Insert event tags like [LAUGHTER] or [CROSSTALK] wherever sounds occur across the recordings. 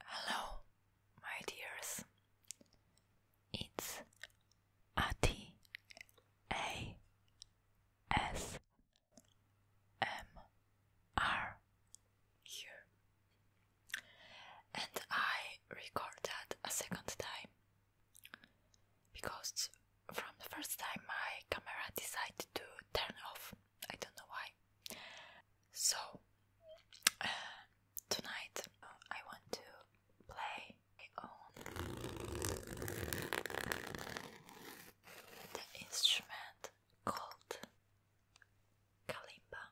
Hello, my dears. It's Ati and I recorded a second time because from the first time my camera decided to turn off. I don't know why. So [SIGHS] tonight uh, I want to play my the instrument called kalimba.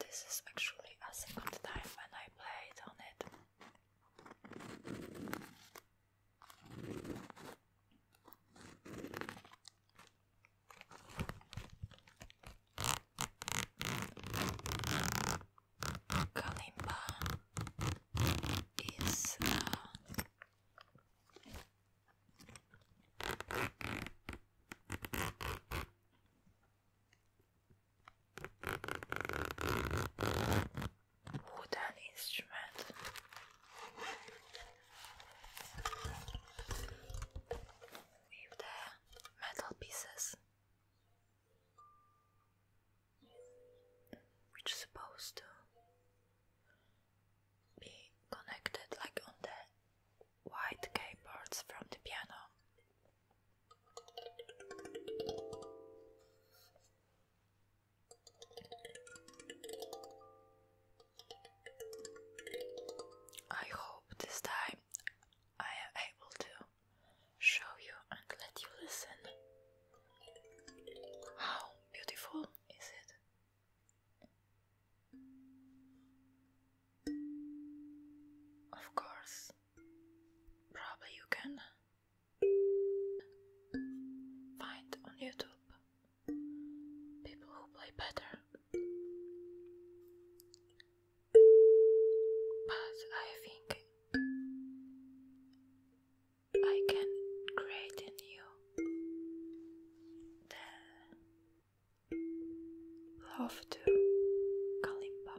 This is actually a second time when I my plate on it. Kalimba is uh, wooden instrument. With the metal pieces, which is supposed to be connected like on the white keyboards from the piano. I hope this time I am able to show you and let you listen. How beautiful is it? Of course, probably you can find on YouTube people who play better. But I think I can create in you love to Kalimba.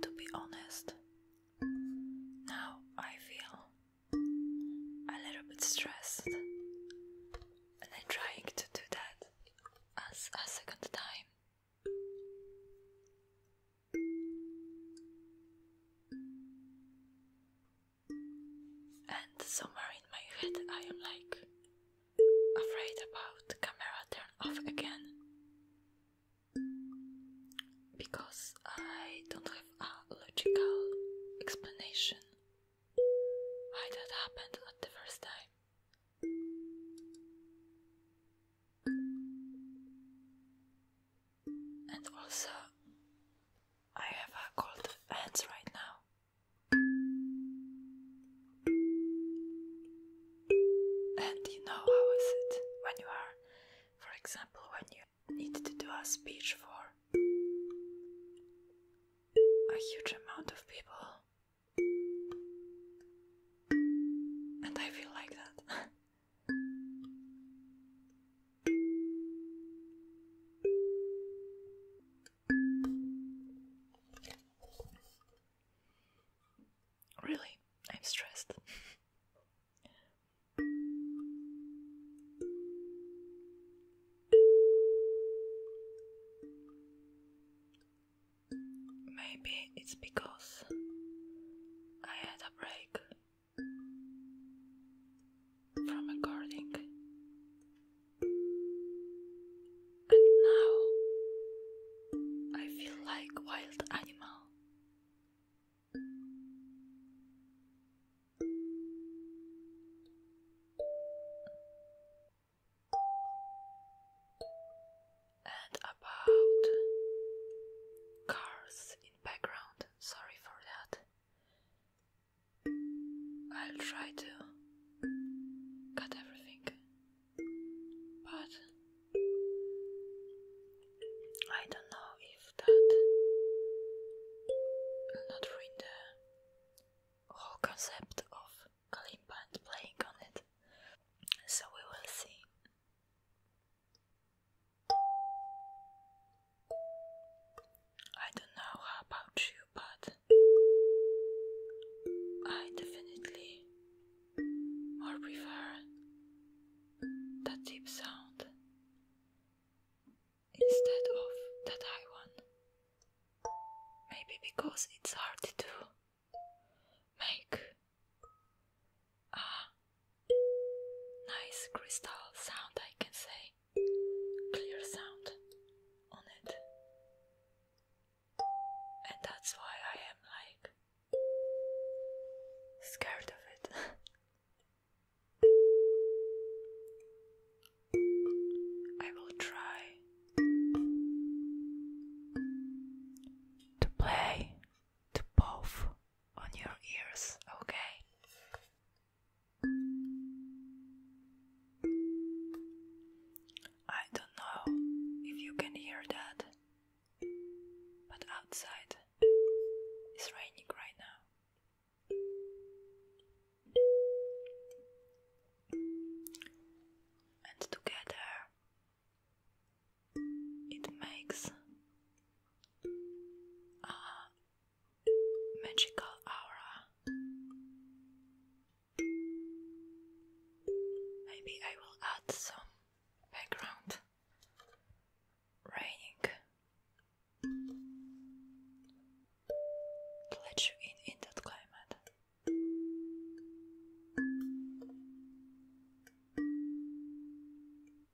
To be honest, now I feel a little bit stressed, and I'm trying to do that as a second time. And somewhere in my head, I am like afraid about camera turn off again because I don't have a logical explanation why that happened not the first time and also I have a cold hands right now. And you know how is it when you are, for example, when you need to do a speech for a huge amount of people, and I feel like that. [LAUGHS] Really, I'm stressed. Maybe it's because I had a break from recording. And now I feel like wild animal. And about cars in background sorry for that. I'll try to cut everything, but I don't know if that will not ruin the whole concept of clean and playing on it. So we will see. I don't know how about you, but I definitely more prefer that deep sound instead of that high one. Maybe because it's hard to make Ah, nice crystal sound, I can say. Clear sound on it. And that's why I am like scared of it. [LAUGHS] I will try to play to both on your ears, okay? I don't know if you can hear that, but outside it's raining right now. And together it makes a magical aura. Maybe I will add some background raining to let you in in that climate.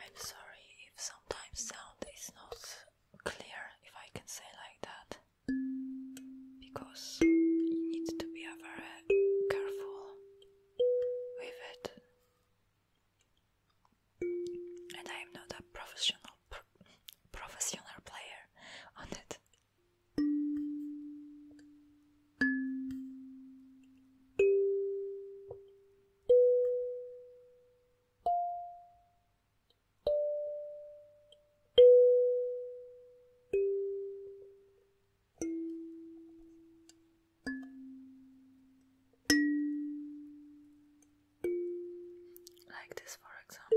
I'm sorry if sometimes sound is not clear, if I can say like that, because you need to be very careful with it. And I am not a professional professional player on it. Like this, for example.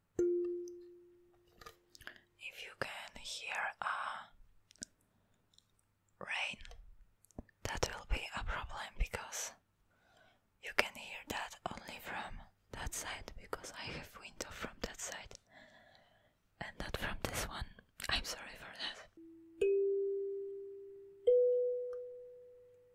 If you can hear a rain, that will be a problem because you can hear that only from that side because I have window from that side and not from this one. I'm sorry for that.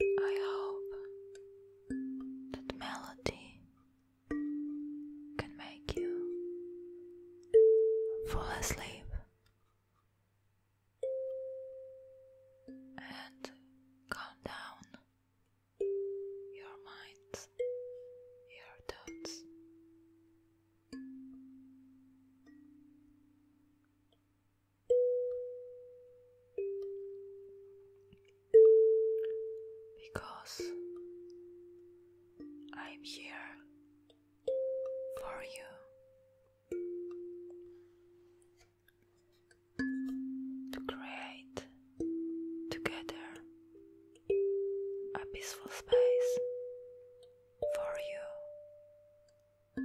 I hope that melody can make you fall asleep and calm down your minds, your thoughts because I'm here for you. To create together a peaceful space for you.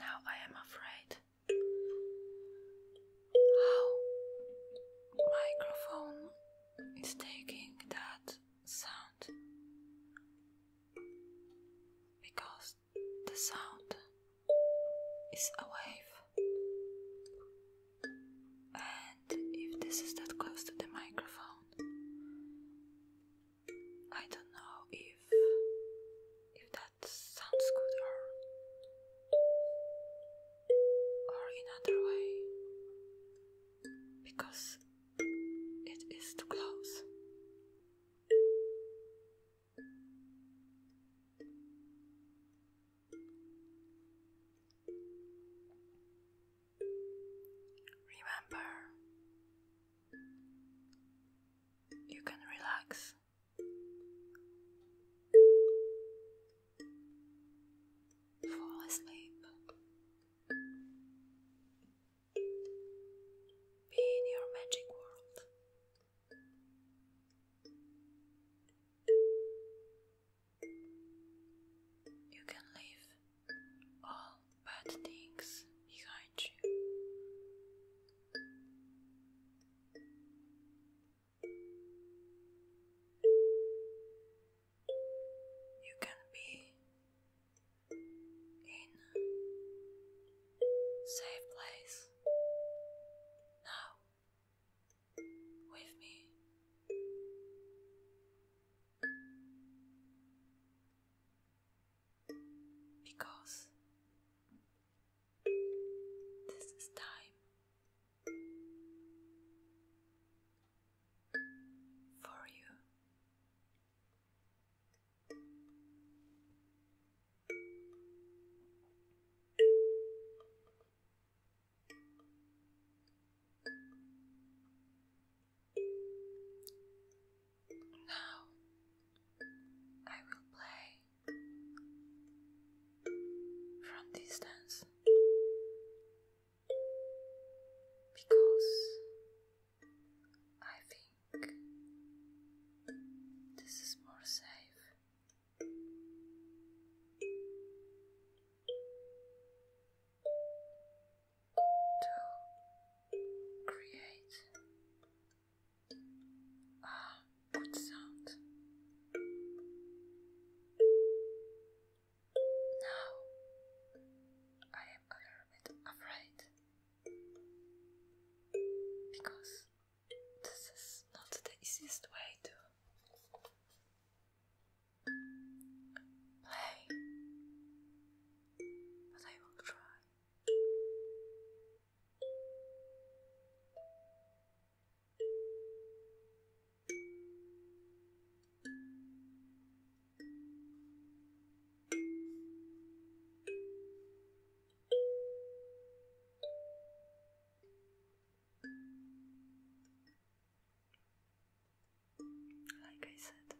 Now I am afraid how microphone is taking that sound because the sound is a wave, and if this is that close to the microphone, I don't know if if that sounds good or or another way because it is too close. Remember, you can relax. Fall asleep. Be in your magic world. You can leave all bad things behind you. You can be in safe place now with me. Because this is time for you now I will play from distance because I think this is more safe. To create a good sound. Now I am a little bit afraid because this is not the easiest way to play, but I will try. Like I said.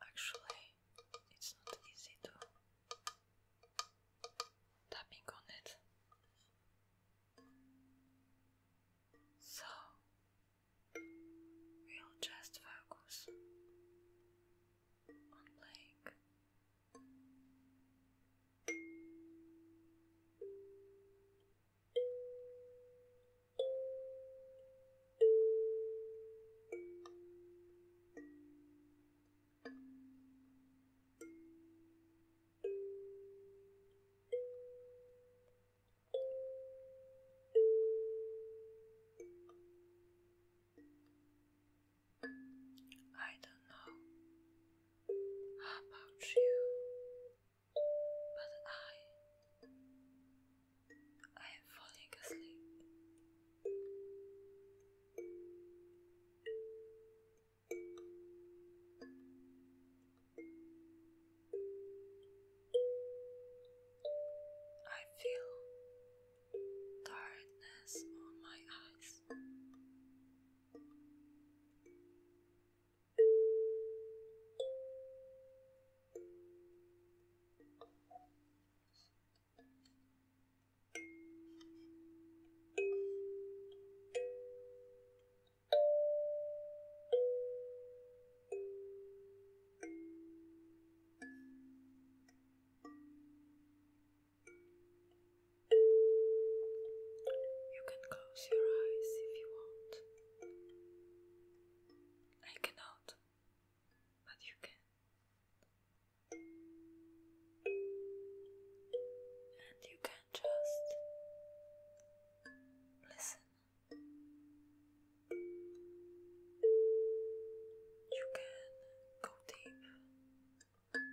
Actually, it's not easy to tapping on it. So we'll just focus on Blake. I don't know about you, but I I am falling asleep. I feel tiredness on my eyes. You can close your eyes if you want. I cannot, but you can. And you can just listen. You can go deep in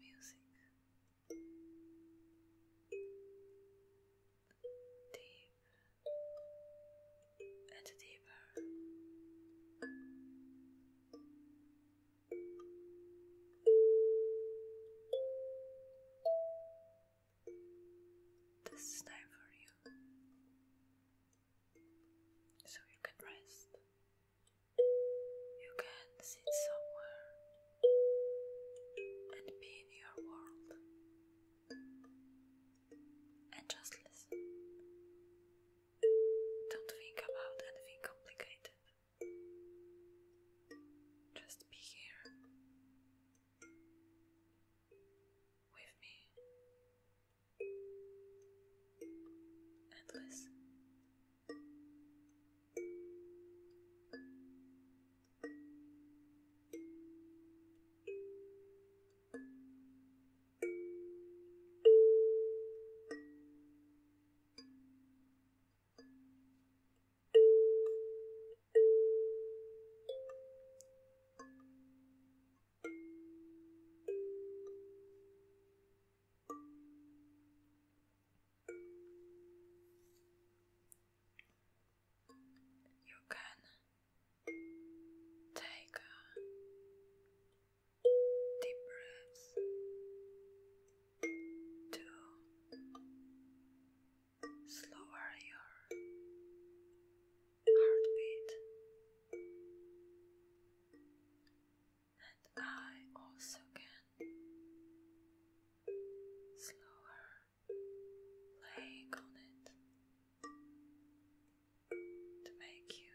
music. Deep and deeper. This is time for you, so you can rest. You can sit somewhere and be in your world and just listen. Don't think about anything complicated. Just be here with me and you can take deep breath to slower your heartbeat, and I also can slower laying on it to make you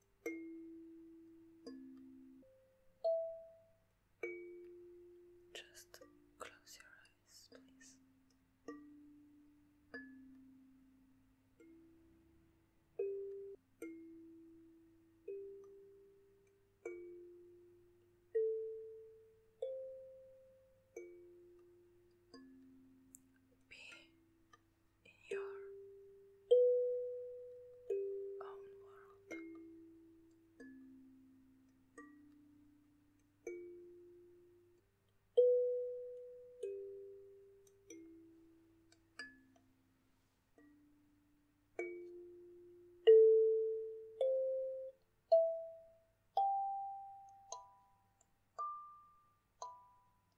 Just close your eyes, please. Be in your own world.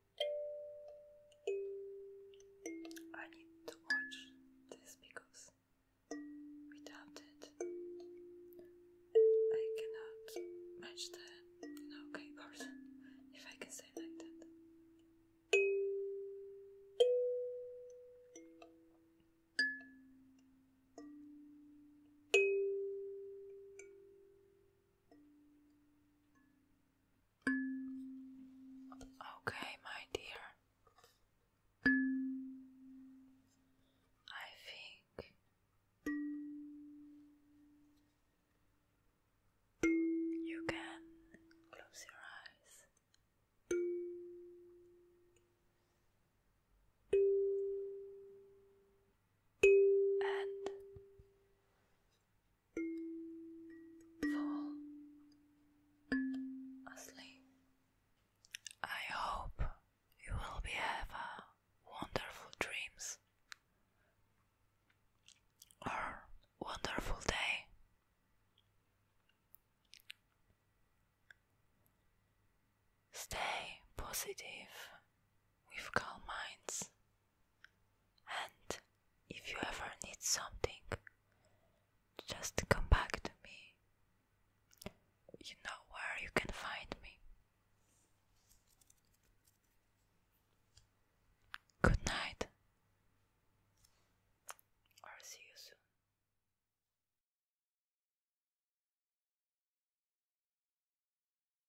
I need to watch this because without it, I cannot match the you person, if I can say like that. Okay, my dear. I think you can close your eyes and fall asleep. I hope you will be have wonderful dreams or wonderful day. Stay positive with calm minds and if you ever need something, just come back to me. You know where you can find me. Good night, or see you soon.